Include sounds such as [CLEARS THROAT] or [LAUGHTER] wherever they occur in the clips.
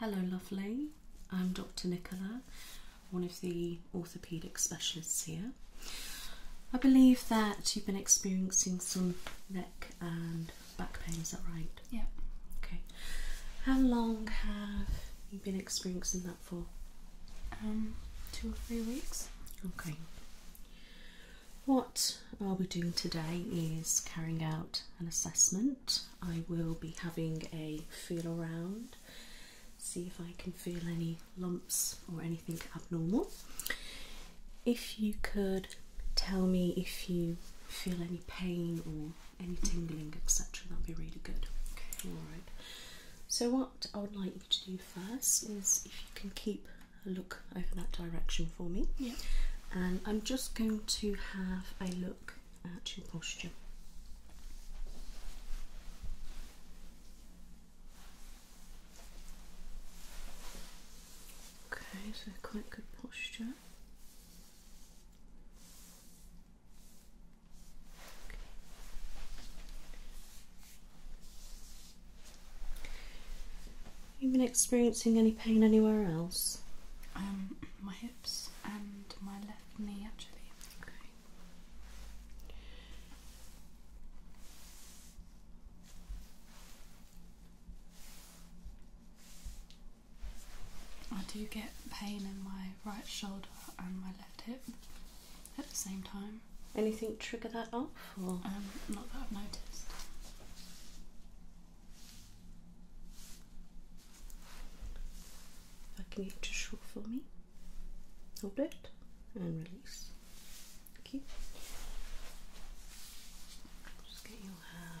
Hello, lovely. I'm Dr. Nicola, one of the orthopaedic specialists here. I believe that you've been experiencing some neck and back pain, is that right? Yeah. Okay. How long have you been experiencing that for? Um, two or three weeks. Okay. What I'll be doing today is carrying out an assessment. I will be having a feel around, see if I can feel any lumps or anything abnormal. If you could tell me if you feel any pain or any tingling, etc., that'd be really good. Okay, all right. So, what what I would like you to do first is if you can keep a look over that direction for me. And I'm just going to have a look at your posture. Okay, so quite good posture. Okay. You've been experiencing any pain anywhere else? Um, my hips and my left knee actually. Okay. I do get pain in my right shoulder and my left hip at the same time. Anything trigger that off? Or? Um, not that I've noticed. If I can get you to shrug for me, hold it and release. Thank you. Just get your hair.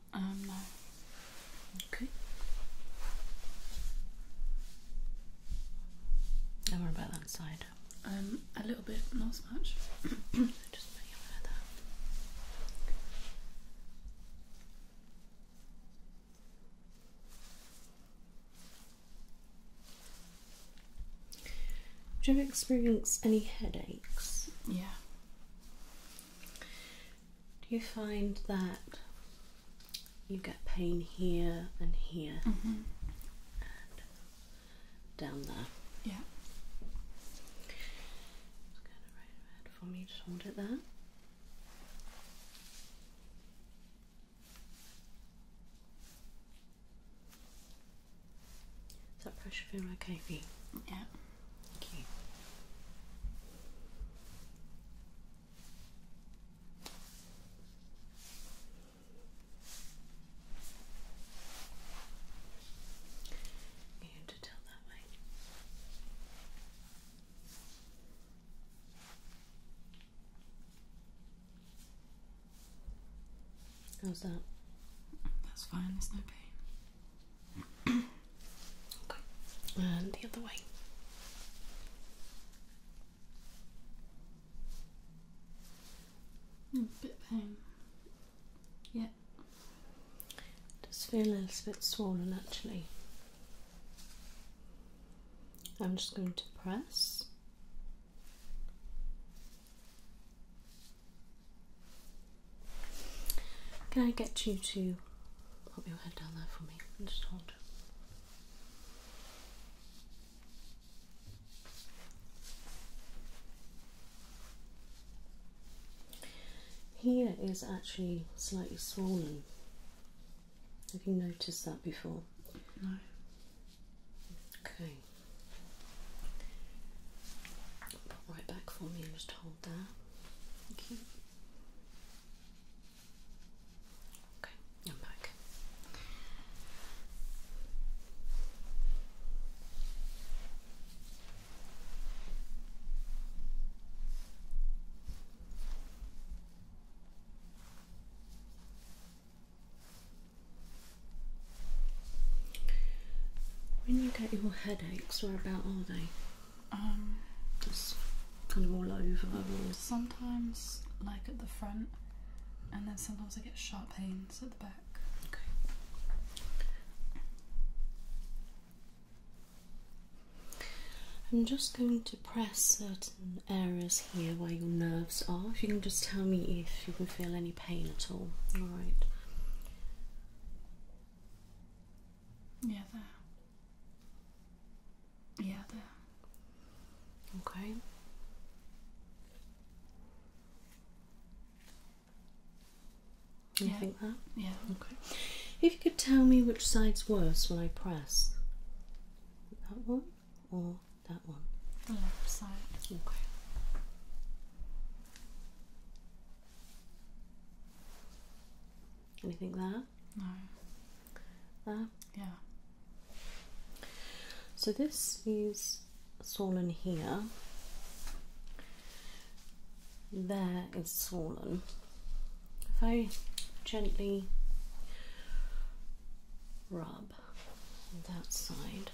Um, no. Okay. And what about that side? Um, a little bit, not as much. [COUGHS] Just put you like that. Do you ever experience any headaches? Yeah. Do you find that you get pain here and here mm-hmm. and down there? Yeah. Just going to right for me, just hold it there. Is that pressure feel okay for you? Yeah. Okay. You have to tilt that way. How's that? That's fine, there's no pain and the other way. A hmm, bit pain. Yeah. Just feel a little bit swollen actually. I'm just going to press. Can I get you to put your head down there for me and just hold? Here is actually slightly swollen. Have you noticed that before? No. Okay. Put right back for me and just hold that. Thank you. Okay, I'm back. When you get your headaches, where about are they? Um, just kind of all over. sometimes, like at the front, and then sometimes I get sharp pains at the back. Okay. I'm just going to press certain areas here where your nerves are. If you can just tell me if you can feel any pain at all. All right. Yeah, there. Yeah, Okay. yeah. Yeah. Okay. If you could tell me which side's worse when I press, that one or that one? The left side. Okay. Anything there? No. There? Yeah. So this is swollen here. There is swollen. If I gently rub that side,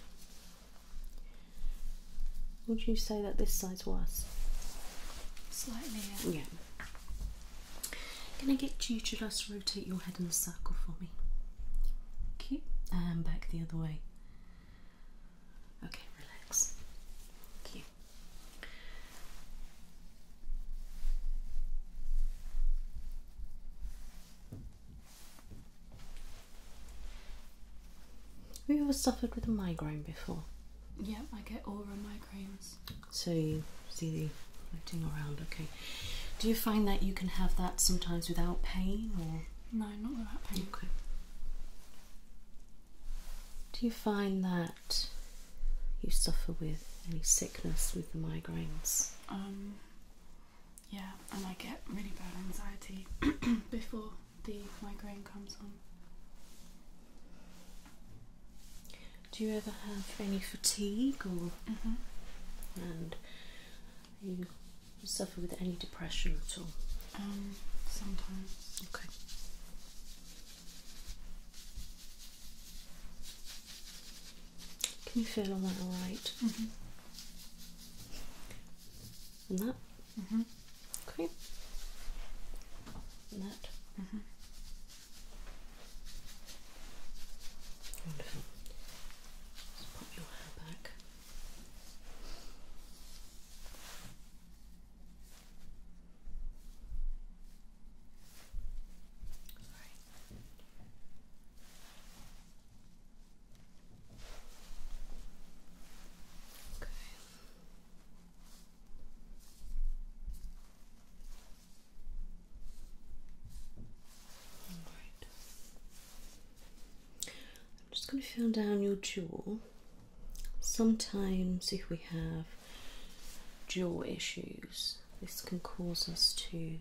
would you say that this side's worse? Slightly, yeah. yeah. Can I get you to just rotate your head in a circle for me? Okay, and back the other way. Okay, relax. Thank you. Have you suffered with a migraine before? Yep, I get aura migraines. So you see the floating around, okay. Do you find that you can have that sometimes without pain or? No, not without pain. Okay. Do you find that you suffer with any sickness with the migraines? Um, yeah, and I get really bad anxiety [CLEARS THROAT] before the migraine comes on. Do you ever have any fatigue or mm-hmm. and you suffer with any depression at all? Um, sometimes. Okay. Can you feel all that right? Mm-hmm. And that Mm -hmm. Okay. that. Mm -hmm. Wonderful. Just pop your hair back. Sorry. Okay right. I'm just going to feel down your jaw. Sometimes, if we have jaw issues, this can cause us to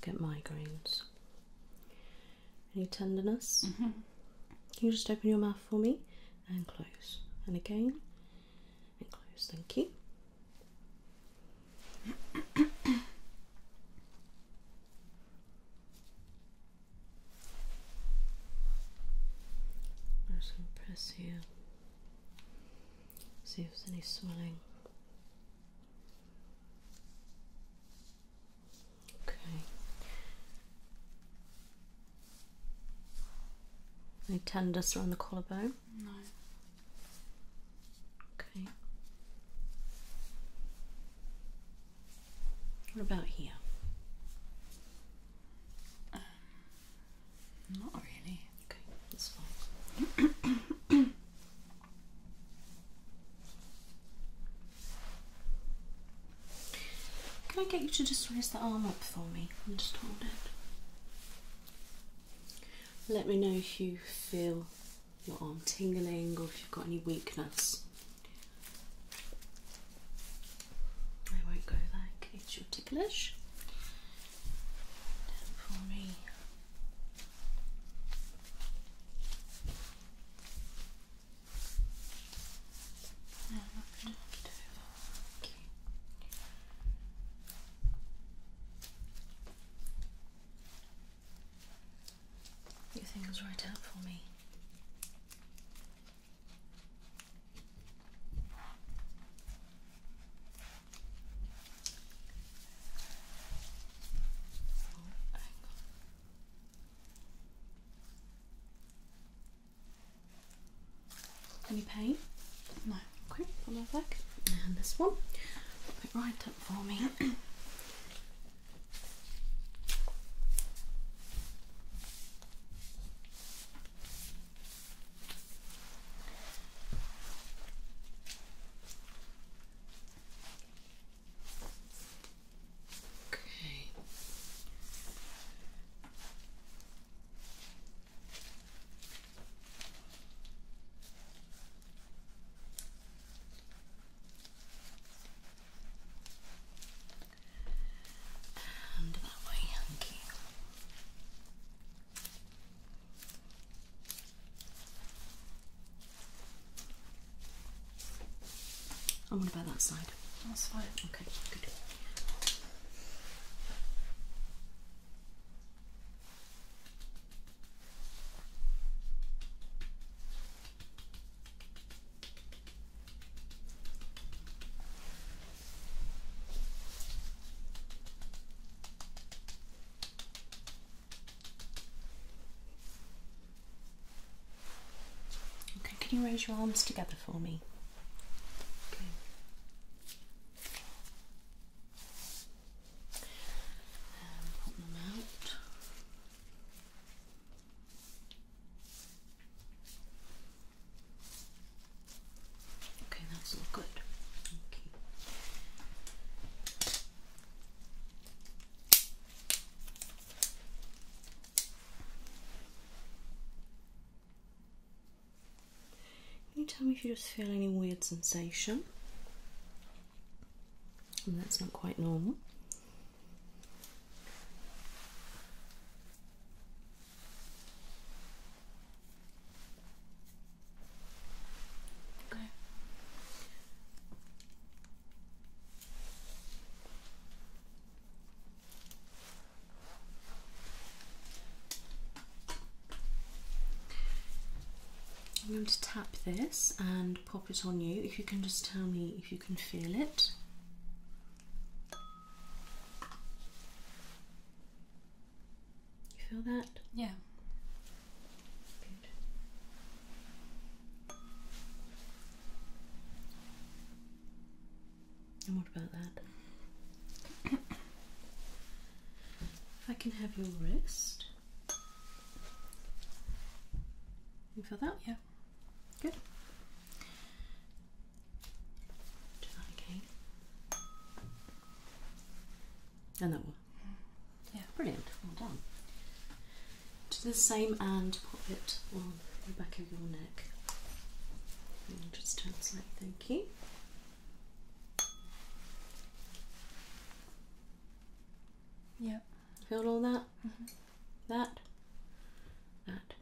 get migraines. Any tenderness? Mm-hmm. Can you just open your mouth for me? and close and again and close thank you I'm just going to press here see if there's any swelling okay no tenderness around the collarbone? No. Okay. What about here? Um, not really. Okay, that's fine. [COUGHS] Can I get you to just raise the arm up for me and just hold it? Let me know if you feel your arm tingling or if you've got any weakness. I won't go there in ticklish. Down for me. Çok okay. You think it's right out for me? Oh, any pain? No. Okay, Put that back. And this one. Put it right up for me. Okay. And that way, Yankee. Okay i And what about that side? That's fine. Okay, good. Okay, can you raise your arms together for me? Okay. And pop them out. Okay, that's all good. Okay. Can you tell me if you just feel any weird sensation? And that's not quite normal. Okay. I'm going to tap this and pop it on you. If you can just tell me if you can feel it. You feel that? Yeah. Good. And what about that? I can have your wrist. You feel that? Yeah. Good. Do And that one. Yeah. Brilliant. Well done. Do the same and pop it the back of your neck. And just translate, thank you. Yeah. Feel all that? Mm-hmm. That? That.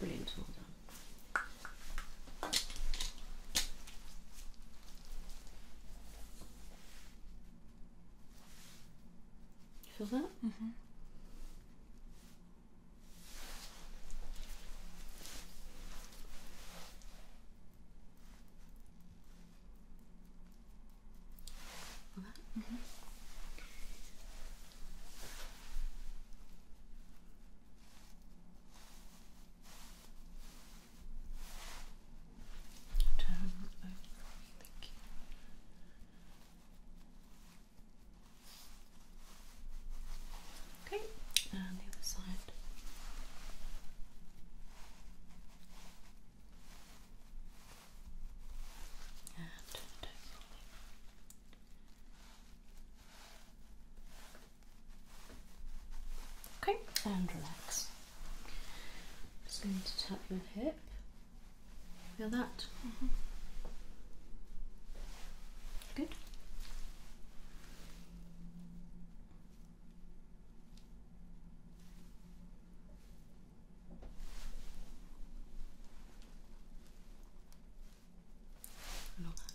Brilliant, well done. You feel that? Mm -hmm. All right. Mm -hmm. Turn over. Thank you. Okay, and the other side. Okay, and relax. Just going to tap your hip Feel that? Mm-hmm. Good. And that.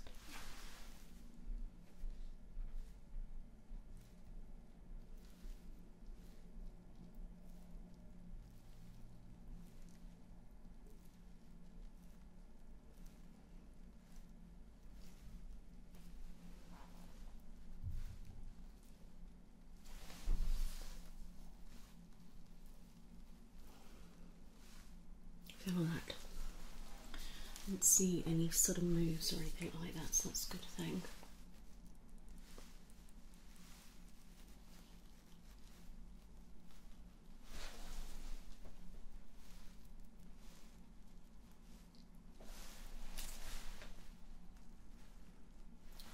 Feel that. I didn't see any sort of moves or anything like that, so that's a good thing.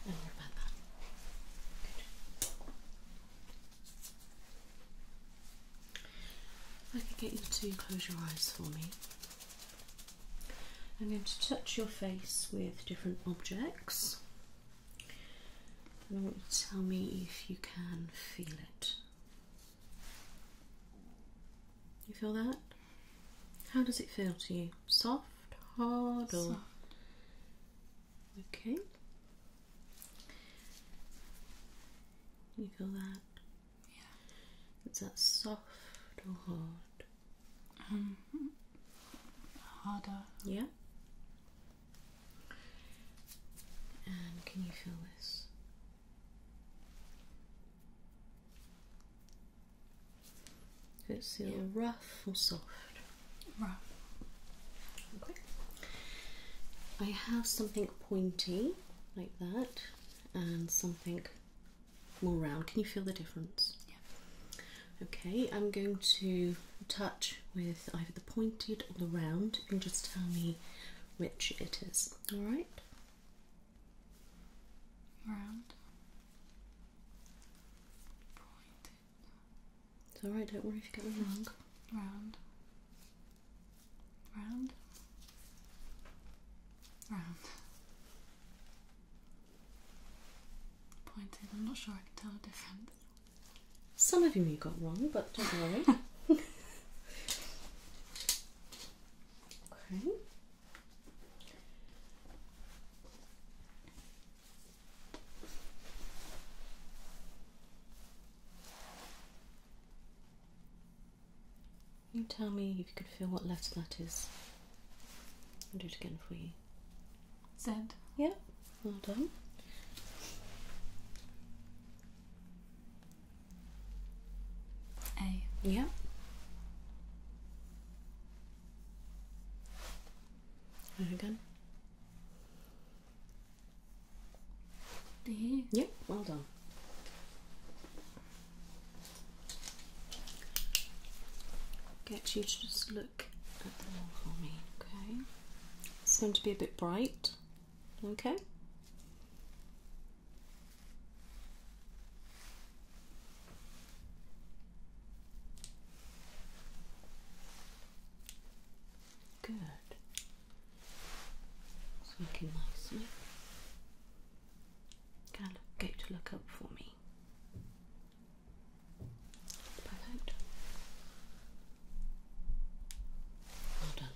No more about I can get you to close your eyes for me. I'm going to touch your face with different objects tell me if you can feel it. You feel that? How does it feel to you? Soft, hard, or okay? You feel that? Yeah. Is that soft or hard? Mm-hmm. harder. Yeah can you feel this? It's either yeah. rough or soft. Rough. Okay. I have something pointy like that and something more round. Can you feel the difference? Okay, I'm going to touch with either the pointed or the round. You just tell me which it is. Alright? Round. Pointed. It's alright, don't worry if you get it wrong. Round. Round. Round. Pointed. I'm not sure I can tell a difference. Some of you you got wrong, but don't worry. [LAUGHS] okay. You tell me if you could feel what letter that is. I'll do it again for you. Z. Yeah. Well done. A. Yeah. again. D. Yeah. Well done. Get you to just look. It's going to be a bit bright, okay? Good. It's looking nicely. Can I look up for me? Perfect. Well done.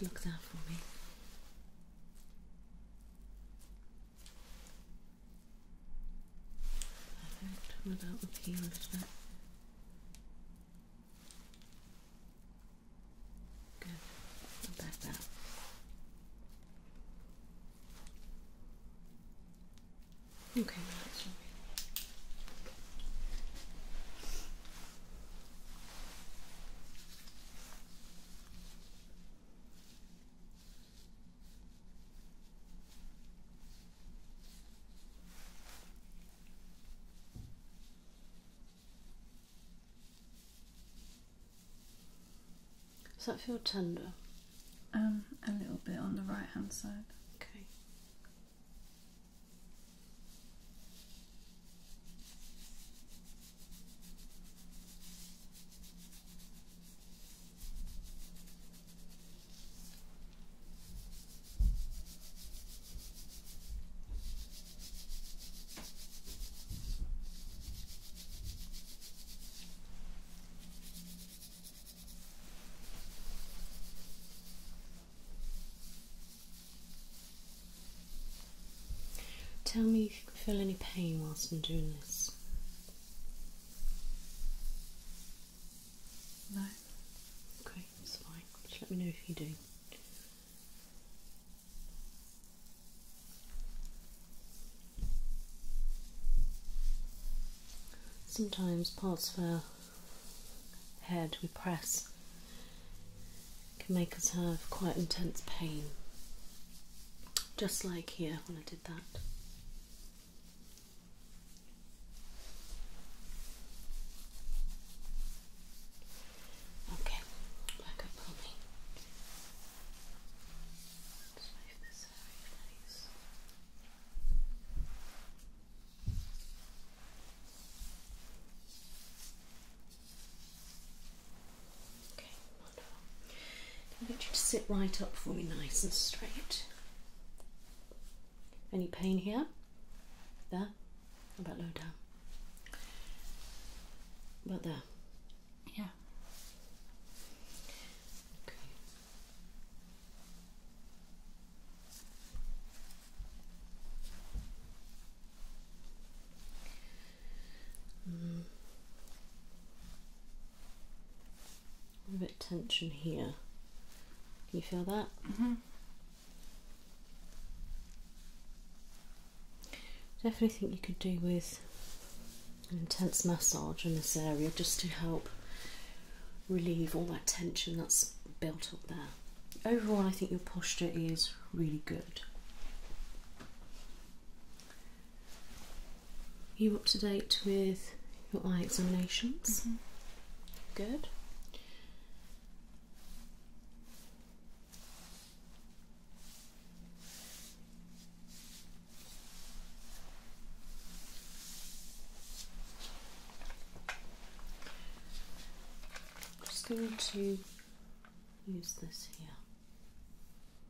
look that for me. Perfect, without the peel lifter. Good, and back down. Okay, does that feel tender? Um, a little bit on the right hand side. Okay. Tell me if you feel any pain whilst I'm doing this. No? Okay, that's fine. Just let me know if you do. Sometimes parts of our head we press can make us have quite intense pain. Just like here when I did that. Okay, back up on me. Let's this out of Okay. I'll you to sit right up for me, nice and straight. Any pain here? There? about low down? About there? Yeah. Okay. Mm a bit tension here. Can you feel that? Definitely mm-hmm. think you could do with an intense massage in this area just to help relieve all that tension that's built up there. Overall, I think your posture is really good. You up to date with your eye examinations? Mm-hmm. Good. just going to use this here.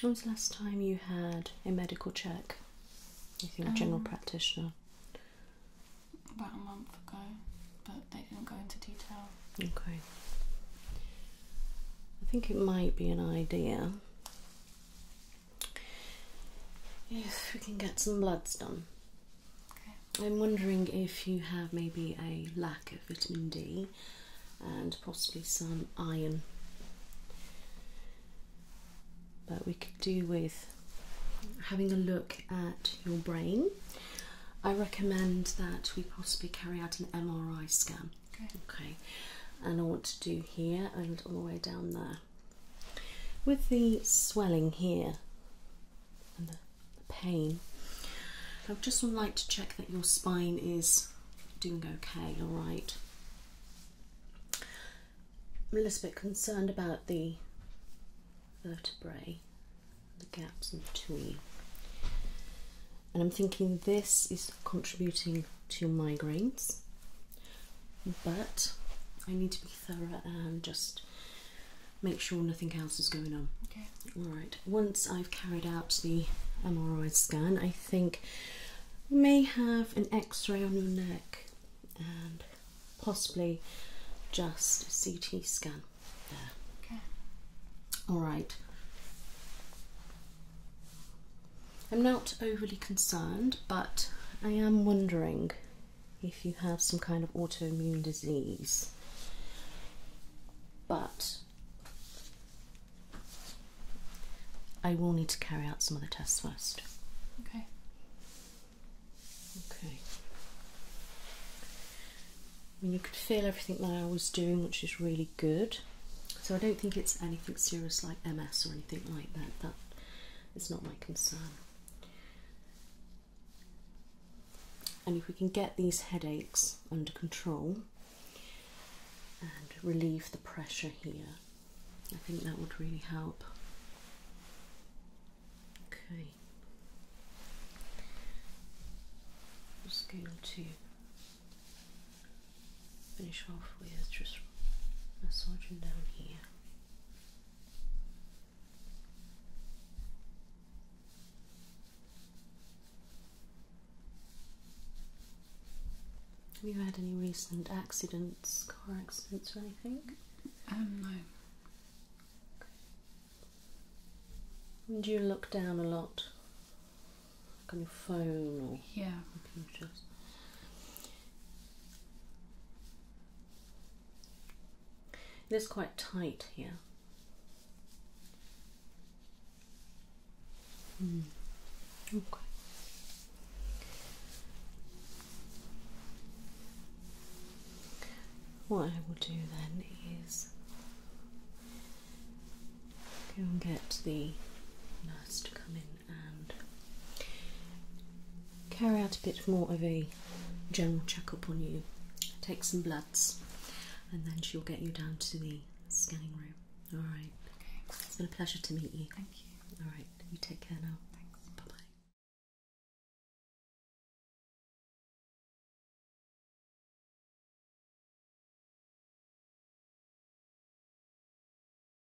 When was the last time you had a medical check? You think general um, practitioner? About a month ago, but they didn't go into detail. Okay. I think it might be an idea if we can get some bloods done. I'm wondering if you have maybe a lack of vitamin D and possibly some iron. But we could do with having a look at your brain. I recommend that we possibly carry out an MRI scan. okay. And I want to do here and all the way down there. With the swelling here and the, the pain, I would just like to check that your spine is doing okay, alright. I'm a little bit concerned about the vertebrae, the gaps in between. And I'm thinking this is contributing to your migraines but I need to be thorough and just make sure nothing else is going on. Okay. All right. Once I've carried out the MRI scan, I think you may have an X-ray on your neck and possibly just a CT scan. There. Okay. All right. I'm not overly concerned, but I am wondering if you have some kind of autoimmune disease. But I will need to carry out some other tests first. Okay. Okay. I mean, you could feel everything that I was doing, which is really good. So I don't think it's anything serious like MS or anything like that. That it's not my concern. And if we can get these headaches under control and relieve the pressure here, I think that would really help. Okay. just going to finish off with just massaging down here. Have you had any recent accidents, car accidents, or anything? Um, no. Do you look down a lot? on your phone or yeah. computers? It is quite tight here. Hmm. Okay. What I will do then is go and get the nurse to come in and carry out a bit more of a general checkup on you, take some bloods, and then she'll get you down to the scanning room. All right. It's been a pleasure to meet you. Thank you. All right. You take care now. Thanks. Bye bye.